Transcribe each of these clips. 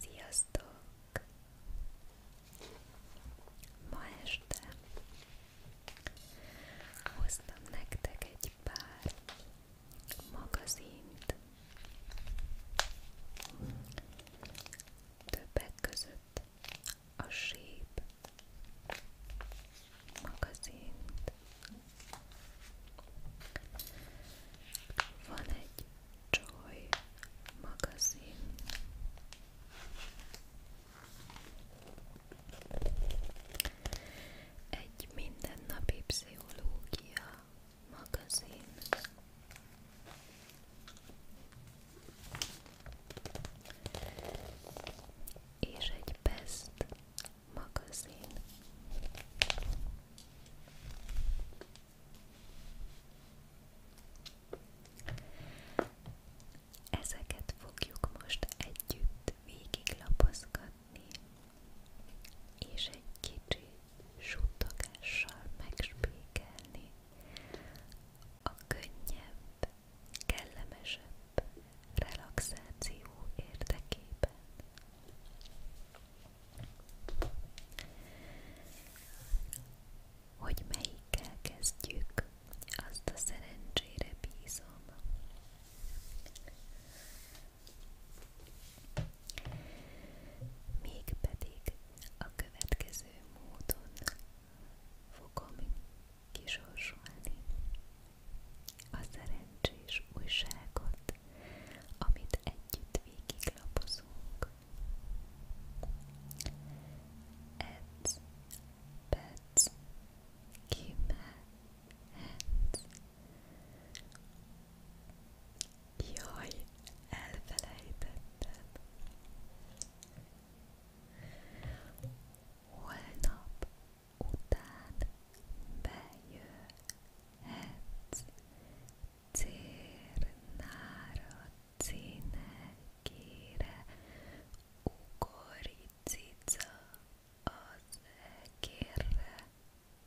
Sziasztok! Ma este hoztam nektek egy pár magazint. Többek között a Shape magazint, van egy Joy magazin. Egy mindennapi pszichológia magazin. És egy Best magazin. Ezeket fogjuk most együtt végiglapozgatni, és egy kicsi suttogással megspékelni a könnyebb, kellemesebb relaxáció érdekében. Hogy melyikkel kezdjük, azt a szerencsére bízom. Mégpedig a következő módon fogom kisorsolni a szerencsés újságot amit együtt végiglapozunk. Edz, bedz, kimehetsz. Jaj, elfelejtettem. Holnap után bejöhetsz, cérnára, cinekére, ugoricica az egérre,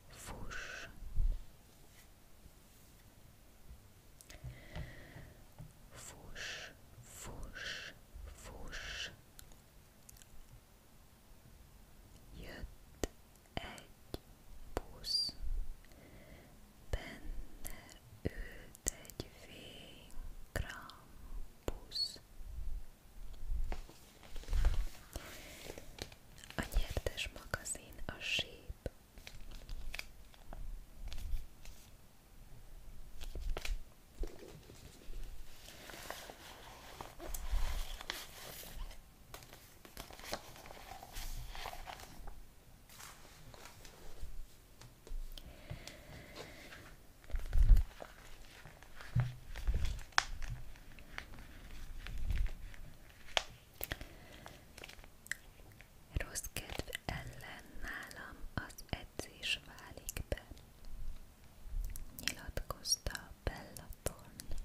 fuss! Fuss, fuss, fuss, Jött egy busz, benne ült egy vén-krampusz. A nyertes magazin a síp. Rossz kedv ellen nálam az edzés válik be, nyilatkozta Bella Thorne,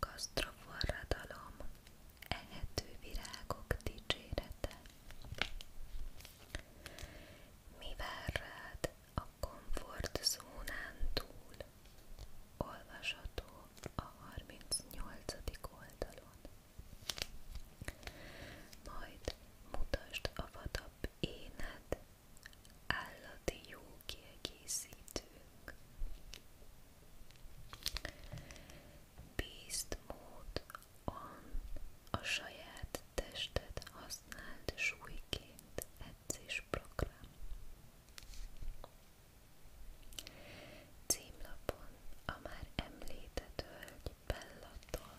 Gasztroforradalom, ehető virágok dicsérete. Mi vár rád a komfortzónán túl? Olvasható a 38. oldalon. Majd mutasd a vadabb éned állati jó kiegészítők. Bízd mód a saját tested használt súlyként edzésprogram. Címlapon a már említett hölgy Bellatol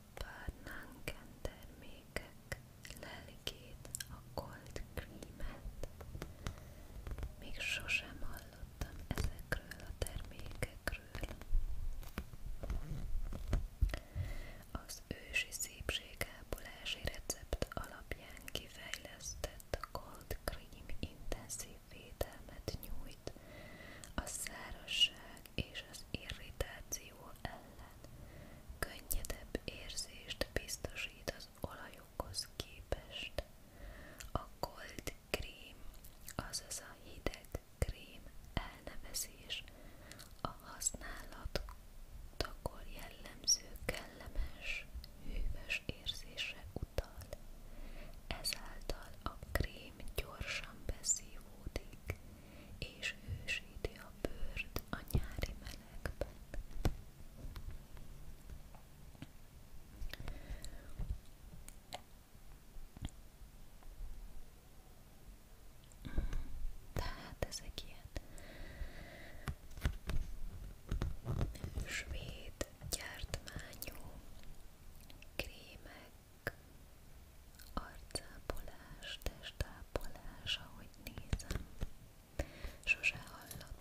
a párnán kentermékek lelkét, a cold creamet. Még sosem hallottam ezekről a termékekről. Az ősi szépségápolási recept alapján kifejlesztett cold cream intenzív védelmet nyújt a szárazság és az irritáció ellen könnyedebb érzést biztosít az olajokhoz képest. A cold cream, azaz a hideg krém elnevezés a használatakor jellemző kellemes, hűvös érzésre utal. Ezáltal a krém gyorsan beszívódik, és hősíti a bőrt a nyári melegben. Tehát ezek ilyen svéd gyártmányú krémek, Arcápolás, testápolás, ahogy nézem. Sose hallottam.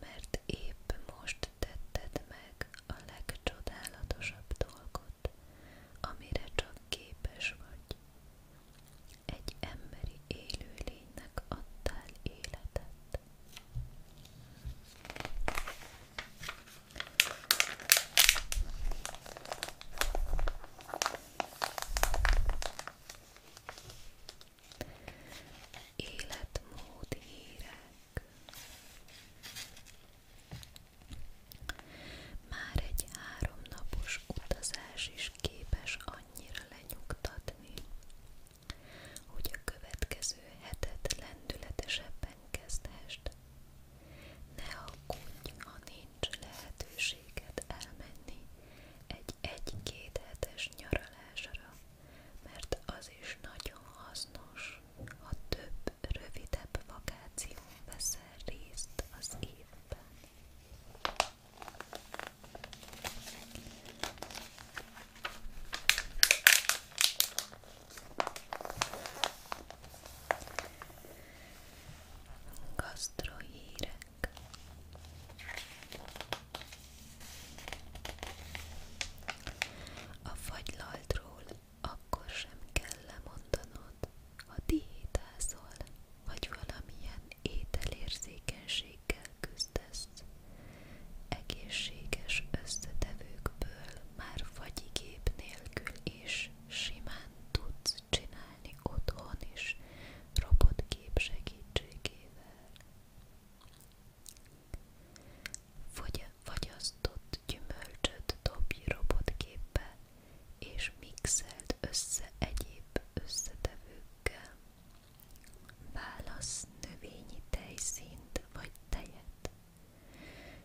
mert épp most tetted meg a legcsodálatosabb dolgot, amire csak képes vagy. Egy emberi élőlénynek adtál életet életmód hírek. Már egy háromnapos utazás is képes annyira lenyugtatni, hogy a következő hetet lendületesebben kezdhessd. Ne aggódj, ha nincs lehetőséged elmenni egy egy-két hetes nyaralásra, mert az is nagyon hasznos, ha több rövidebb vakáción veszel részt az évben. Gasztrohírek a fagylaltról akkor sem kell lemondanod, ha diétázol, vagy valamilyen ételérzékenységgel küzdesz. Egészséges összetevőkből már fagyigép nélkül is simán tudsz csinálni otthon is robotgép segítségével. Fagyasztott gyümölcsöt dobj robotgépbe, és mixeld össze egyéb összetevőkkel. Válasz növényi tejszínt vagy tejet.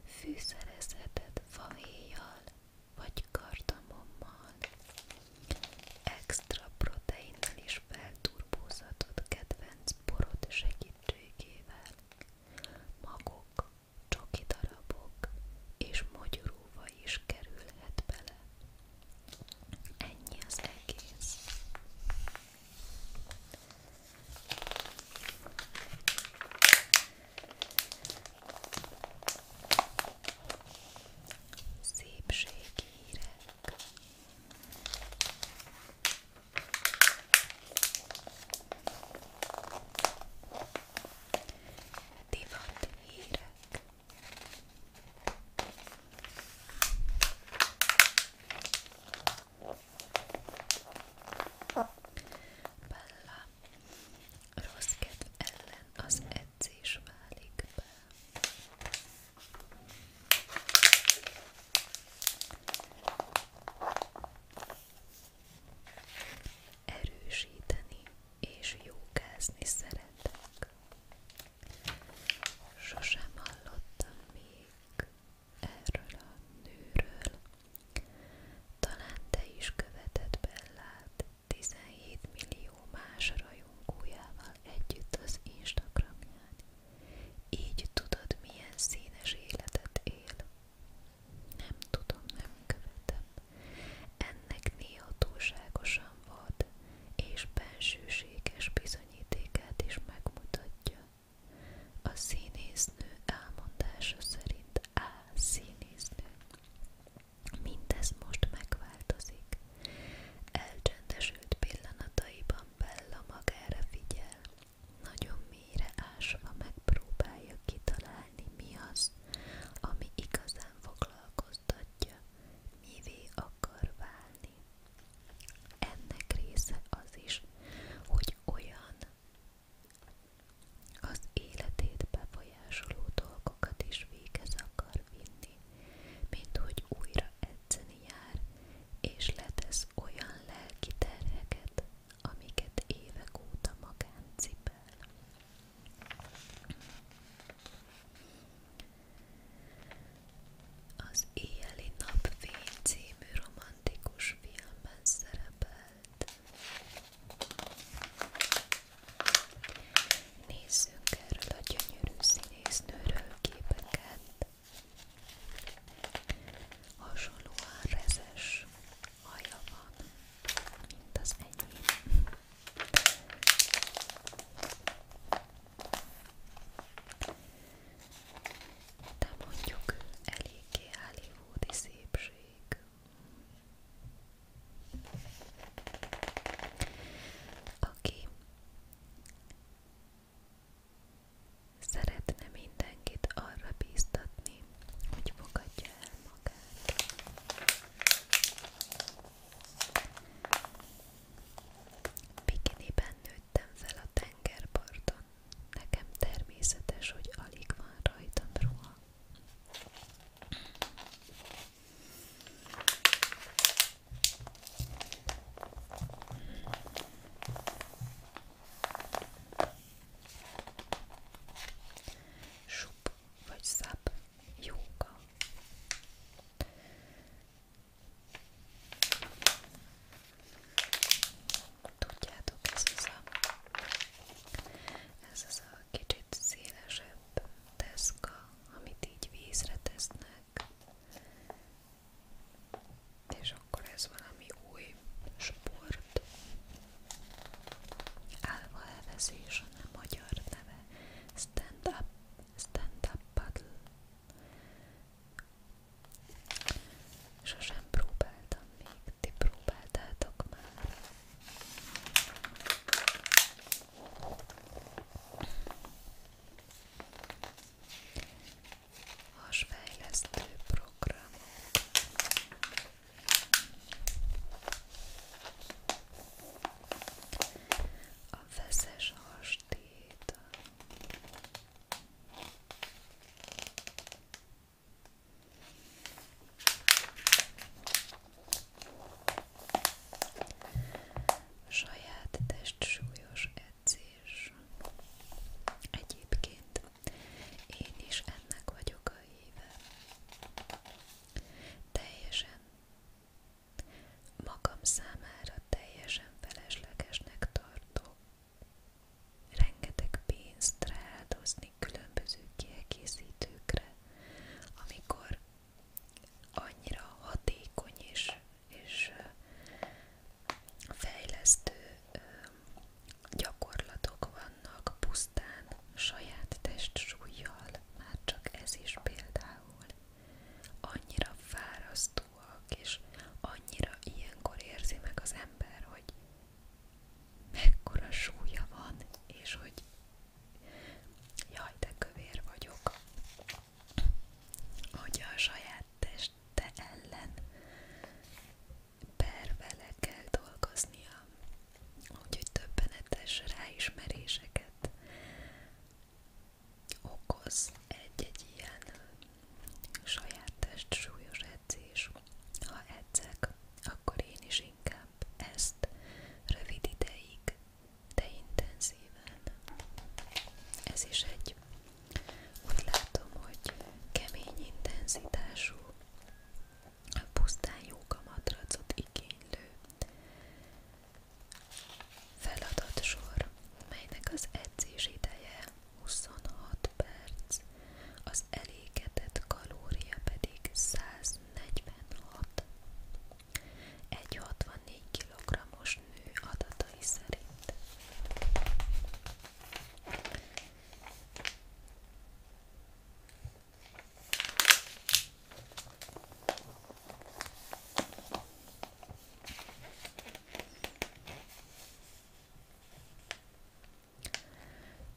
Fűszerezheted fahéjjal vagy kardamommal. Extra proteinnel is felturbózatod kedvenc borod segítségével. Magok, csoki darabok és mogyorúva is kerülhet bele. Ennyi az egész. Szépséghírek Divat hírek. Bella, rossz kedv ellen az edzés válik be. Erősíteni és jókázni szeretek. Sosem hallottam még erről a nőről. Talán te is követed Bellát 17 millió más rajongójával együtt az Instagramján így tudod, milyen színes életet él. Nem tudom, nem követem. Ennek néha túlságosan vad, és bensőséges bizonyítékát is megmutatja. A színésznő elmondása szerint A színésznő. Mindez most megváltozik. Elcsendesült pillanataiban Bella magára figyel, nagyon mélyre ásva megpróbálja kitalálni mi az, ami igazán foglalkoztatja, mivé akar válni. Ennek része az is, hogy olyan az életét befolyásoló dolgokat is végez akar vinni, mint hogy újra edzeni jár, és letesz olyan lelki terheket, amiket évek óta magán cipel. Az Éjjeli Napfény című romantikus filmben szerepelt. Nézzünk erről a gyönyörű színésznőről képeket. Hasonlóan rezes haja van, mint az enyém. De mondjuk eléggé hollywoodi szépség. Aki Szeretne mindenkit arra bíztatni, hogy fogadja el magát. Bikiniben nőttem fel a tengerparton. Nekem természetes, hogy alig van rajtam ruha. Sup vagy szap jóga. Tudjátok, ez az a, ez az a kicsit szélesebb deszka, amit így vízre tesznek, és akkor ez valami új sport. Álva elvezés, a nem magyar neve. Stand-up, stand-up paddle. Sosem próbáltam még, ti próbáltátok már hasfejlesztő program. A feszes hastét. Saját testsúlyos edzés. Egyébként én is ennek vagyok a híve. Teljesen magam számára teljesen feleslegesnek tartok. Rengeteg pénzt rááldozni különböző kiegészítőkre, amikor annyira hatékony és és fejlesztő gyakorlatok vannak pusztán saját testsúlyjal, már csak ez is például. Annyira fárasztóak, és annyira ilyenkor érzi meg az ember, hogy mekkora súlya van, és hogy jaj, de kövér vagyok hogy a saját teste ellen pervele kell dolgoznia, úgyhogy többenetes ráismeréseket okoz egy-egy ilyen saját test súlyos edzés. Ha edzek, akkor én is inkább ezt rövid ideig, de intenzíven. Ez is egy úgy látom, hogy kemény intenzitású, pusztán jóga matracot igénylő feladatsor, melynek az edzés ideje 26 perc, az elégetett kalória pedig 146. Egy 64 kg-os nő adatai szerint.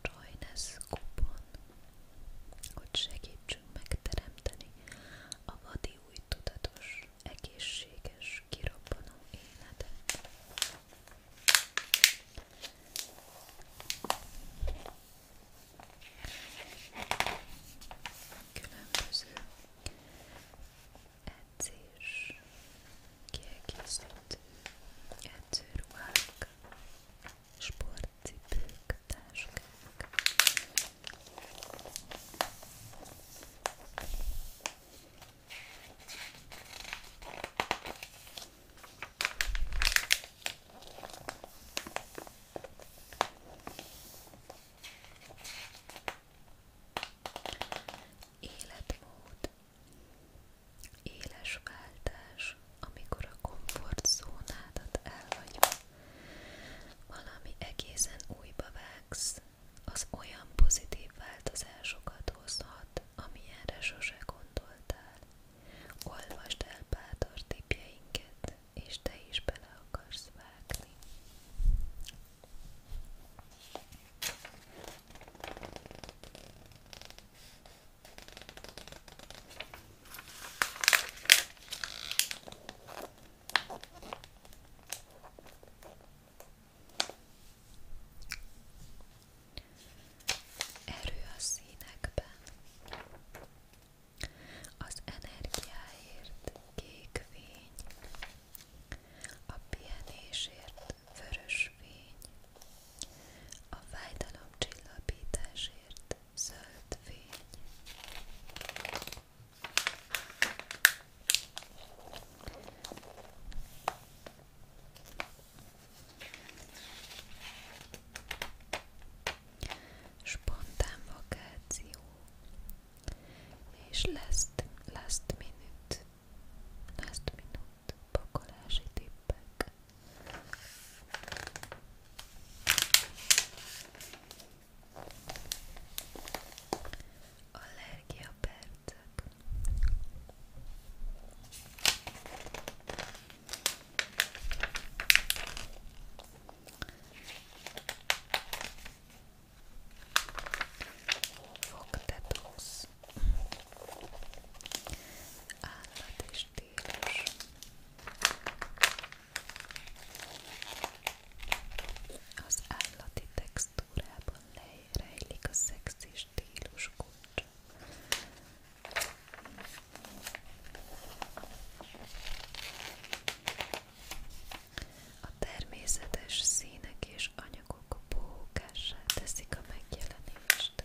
Roynes kupon, hogy segítsünk megteremteni a vadi új tudatos egészséges, kirobbanó életet. Különböző edzés, kiegészítő edzőruhák, sportcipők, táskák. Életmód Éles váltás, amikor a komfortzónádat elhagyva valami egészen újba vágsz, az olyan pozitív változásokat hozhat, amilyenre sose gondoltál. Olvasd el bátor tipjeinket, és te is bele akarsz vágni. Erő a színekben. Az energiáért kék fény, a pihenésért vörös fény, a fájdalom csillapításért zöld fény. Spontán vakáció és last, last minute, last minute pakolási tippek. Allergia per tetszett. Fogtetósz. Állat és tílus. Az állati textúrában lejt mely rejlik a szexi stílus kulcsa. A természetes színek és anyagok bókássá teszik a megjelenést.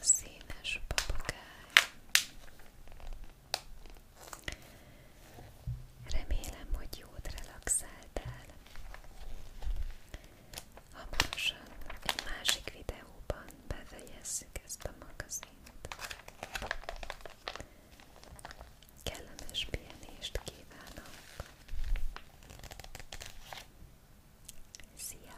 Színes papagáj Remélem, hogy jót relaxáltál. Hamarosan egy másik videóban befejezzük ezt a magazint. Kellemes pihenést kívánok! Szia!